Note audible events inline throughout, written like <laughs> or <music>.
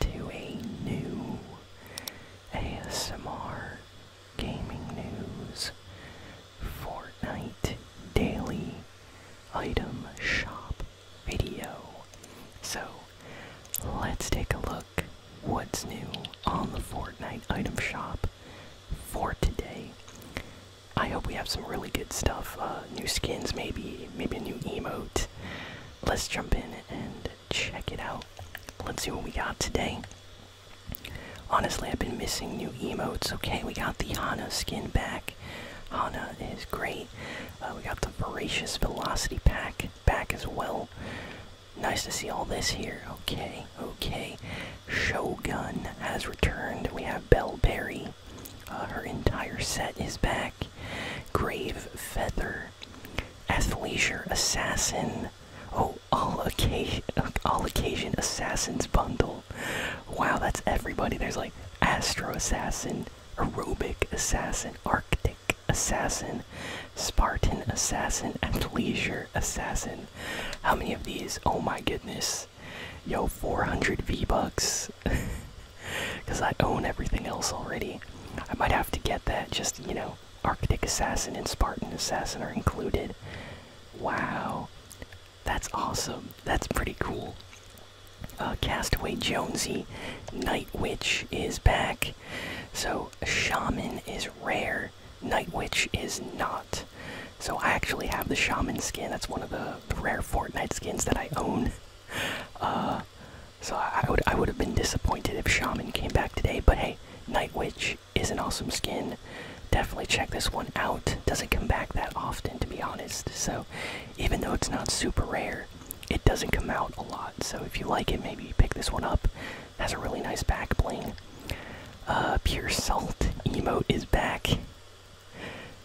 to a new ASMR Gaming News Fortnite Daily Item Shop video. So, let's take a look what's new on the Fortnite Item Shop for today. I hope we have some really good stuff. Uh, new skins, maybe, maybe a new emote. Let's jump in and check it out. Let's see what we got today. Honestly, I've been missing new emotes. Okay, we got the Hana skin back. Hana is great. Uh, we got the Voracious Velocity pack back as well. Nice to see all this here. Okay, okay. Shogun has returned. We have Belle Berry. Uh, her entire set is back. Grave Feather athleisure assassin. Oh, all occasion, all occasion assassins bundle. Wow, that's everybody. There's like astro assassin, aerobic assassin, arctic assassin, Spartan assassin, athleisure assassin. How many of these? Oh my goodness. Yo, 400 V bucks. <laughs> Because I own everything else already. I might have to get that, just, you know, Arctic Assassin and Spartan Assassin are included. Wow. That's awesome. That's pretty cool. Uh, Castaway Jonesy, Night Witch is back. So, Shaman is rare, Night Witch is not. So, I actually have the Shaman skin. That's one of the rare Fortnite skins that I own. <laughs> Uh, so I, would I would have been disappointed if Shaman came back today, but hey, Night Witch is an awesome skin. Definitely check this one out. Doesn't come back that often, to be honest. So even though it's not super rare, it doesn't come out a lot. So if you like it, maybe pick this one up. Has a really nice back bling. Uh, Pure Salt emote is back,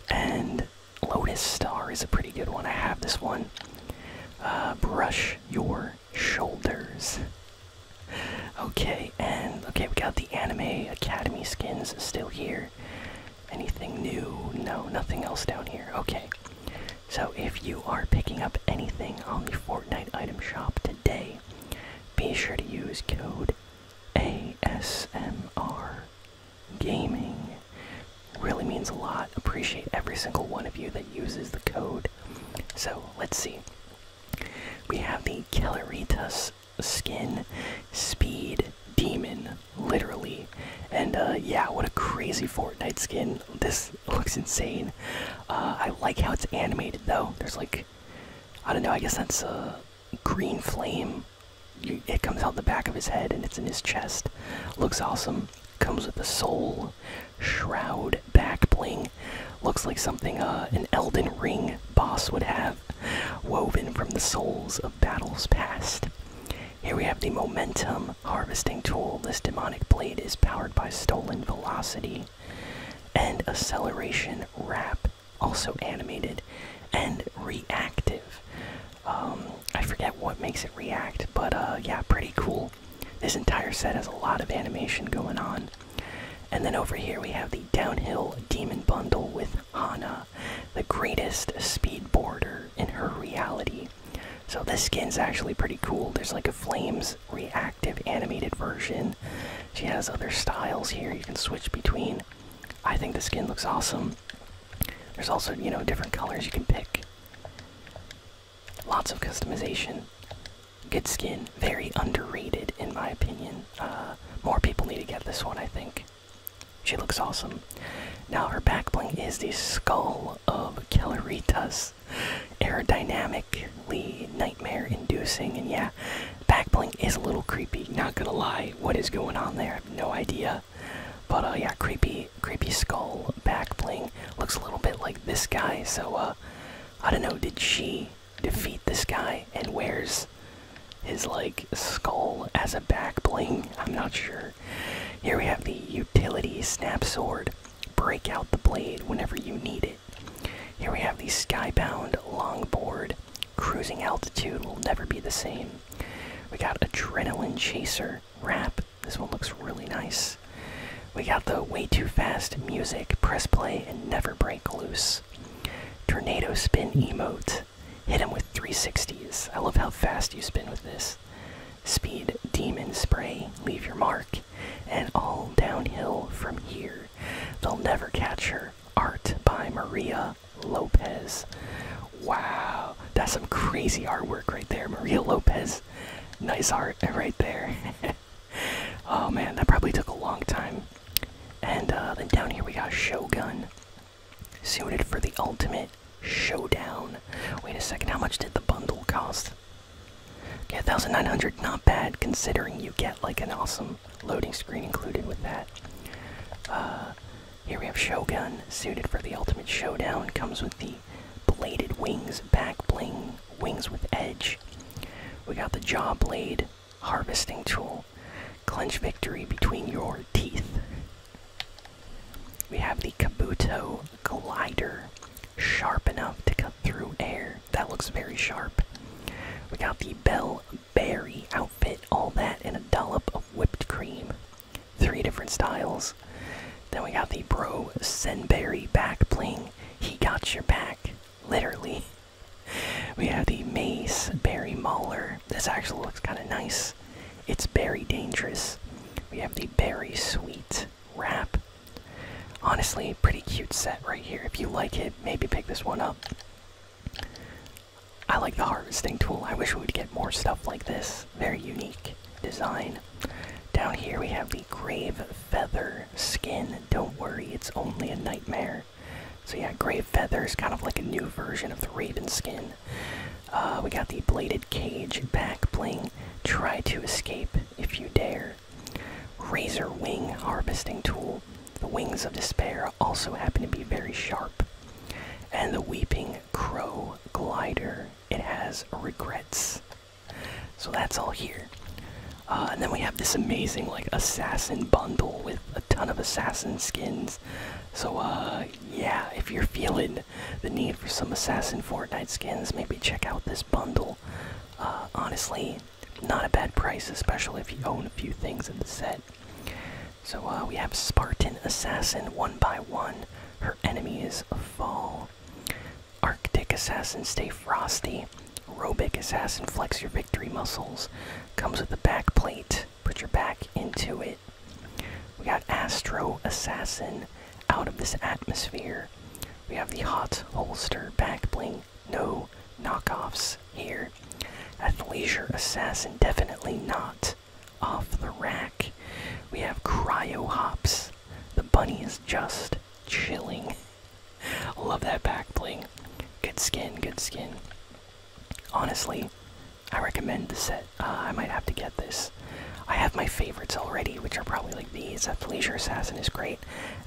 and Lotus Star is a pretty good one. I have this one. Uh, brush your shoulders. Okay, and okay, we got the Anime Academy skins still here. Anything new? No, nothing else down here. Okay. So if you are picking up anything on the Fortnite item shop today, be sure to use code ASMR gaming. really means a lot. Appreciate every single one of you that uses the code. So let's see. We have the Kelleritas skin, Speed Demon, literally. And uh, yeah, what a crazy Fortnite skin. This looks insane. Uh, I like how it's animated though. There's like, I don't know, I guess that's uh, green flame. it comes out the back of his head and it's in his chest. Looks awesome. Comes with a soul, shroud, back bling. Looks like something uh, an Elden Ring boss would have, woven from the souls of battles past. Here we have the Momentum Harvesting Tool. This demonic blade is powered by Stolen Velocity and Acceleration rap also animated and reactive. Um, I forget what makes it react, but uh, yeah, pretty cool. This entire set has a lot of animation going on. And then over here we have the Downhill Demon Bundle with Hana, the greatest speedboarder in her reality. So this skin's actually pretty cool. There's like a flames reactive animated version. She has other styles here. You can switch between I think the skin looks awesome. There's also, you know, different colors you can pick. Lots of customization. Good skin. Very underrated, in my opinion. Uh, more people need to get this one, I think. She looks awesome. Now, her back bling is the skull of Kelleritas. Aerodynamically nightmare inducing, and yeah, yeah, backbling is a little creepy. Not gonna lie, what is going on there? no idea. But uh, yeah, creepy, creepy skull backbling looks a little bit like this guy. So uh, I don't know. Did she defeat this guy and wears his like skull as a backbling? I'm not sure. Here we have the utility snap sword. Break out the blade whenever you need it. Here we have the skybound longboard. Cruising altitude will never be the same. We got Adrenaline Chaser Rap. This one looks really nice. We got the Way Too Fast Music. Press play and never break loose. Tornado Spin Emote. Hit him with 360s. I love how fast you spin with this. Speed Demon Spray. Leave your mark. And all downhill from here. They'll never catch her. Art by Maria Lopez. Wow, that's some crazy artwork right there, Maria Lopez. Nice art <laughs> right there. <laughs> oh man, that probably took a long time. And uh, then down here we got Shogun, suited for the ultimate showdown. Wait a second, how much did the bundle cost? Okay, 1900, not bad considering you get like an awesome loading screen included with that. Uh, here we have Shogun, suited for the ultimate showdown, comes with the bladed wings, back bling, wings with edge. We got the jaw blade, harvesting tool, clench victory between your teeth. We have the Kabuto Collider sharp enough to cut through air. That looks very sharp. We got the Bell Berry outfit, all that, and a dollop of whipped cream. Three different styles. Then we got the Bro Senberry back bling. He got your back, literally. <laughs> We have the Mace Berry Mauler. This actually looks kind of nice. It's very dangerous. We have the Berry Sweet wrap. Honestly, pretty cute set right here. If you like it, maybe pick this one up. I like the harvesting tool. I wish we would get more stuff like this. Very unique design. Down here we have the grave feather skin. Don't worry, it's only a nightmare. So yeah, grave feather is kind of like a new version of the raven skin. Uh, we got the bladed cage back bling. Try to escape if you dare. Razor Wing Harvesting Tool. The wings of despair also happen to be very sharp. And the Weeping Crow Glider. It has regrets. So that's all here. Uh, and then we have this amazing like assassin bundle with a ton of assassin skins. So uh, yeah, if you're feeling the need for some assassin Fortnite skins, maybe check out this bundle. Uh, honestly, not a bad price, especially if you own a few things in the set. So uh, we have Spartan Assassin one by one. Her enemy is a fall. Arctic Assassin stay frosty. Aerobic Assassin flex your victory muscles. Comes with a back plate. Put your back into it. We got Astro Assassin out of this atmosphere. We have the hot holster back bling, no knockoffs here. At Leisure assassin, definitely not off the rack. We have cryo hops. The bunny is just chilling. <laughs> Love that back bling. Good skin, good skin. Honestly, I recommend the set. Uh, I might have to get this. I have my favorites already, which are probably like these. Leisure Assassin is great.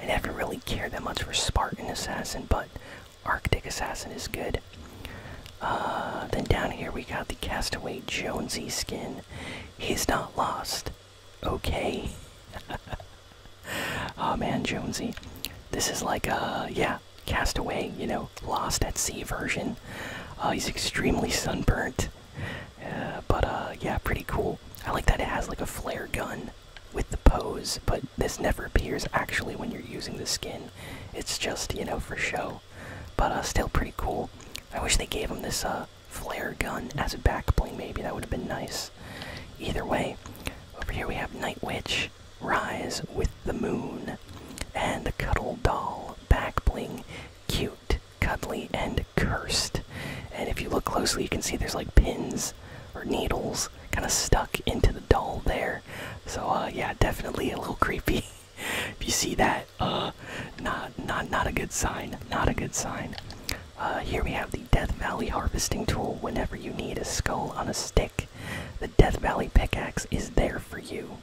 I never really cared that much for Spartan Assassin, but Arctic Assassin is good. Uh, then down here we got the Castaway Jonesy skin. He's not lost. Okay. oh <laughs> man, Jonesy. This is like a, uh, yeah, Castaway, you know, lost at sea version. he's extremely sunburnt. Uh, but uh, yeah, pretty cool. I like that it has like a flare gun with the pose, but this never appears actually when you're using the skin. It's just you know for show. But uh, still pretty cool. I wish they gave him this flare gun as a back bling. Maybe that would have been nice. Either way, over here we have Night Witch rise with the moon and the cuddle doll back bling cute, cuddly, and cursed. And if you look closely, you can see there's like pins or needles kind of stuck into the doll there. So uh, yeah, definitely a little <laughs> creepy. if you see that, uh, not not not a good sign. Not a good sign. Uh, here we have the Death Valley harvesting tool. Whenever you need a skull on a stick, the Death Valley pickaxe is there for you.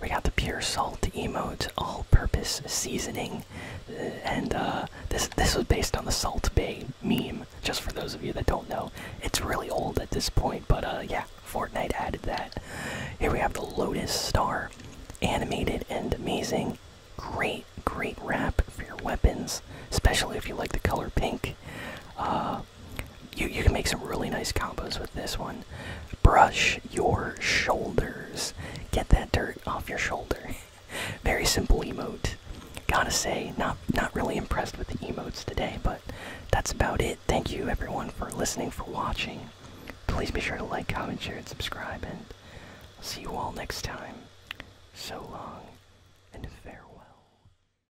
We got the pure salt emote, all-purpose seasoning, uh, and uh, this this was based on the Salt Bay meme. Just for those of you that don't know, it's really old at this point, but uh, yeah, Fortnite added that. Here we have the Lotus Star, animated and amazing. Great, great wrap for your weapons, especially if you like the color pink you you can make some really nice combos with this one. Brush your shoulders. Get that dirt off your shoulder. <laughs> Very simple emote. Gotta say, not not really impressed with the emotes today, but that's about it. Thank you everyone for listening, for watching. Please be sure to like, comment, share, and subscribe, and see you all next time. So long and farewell.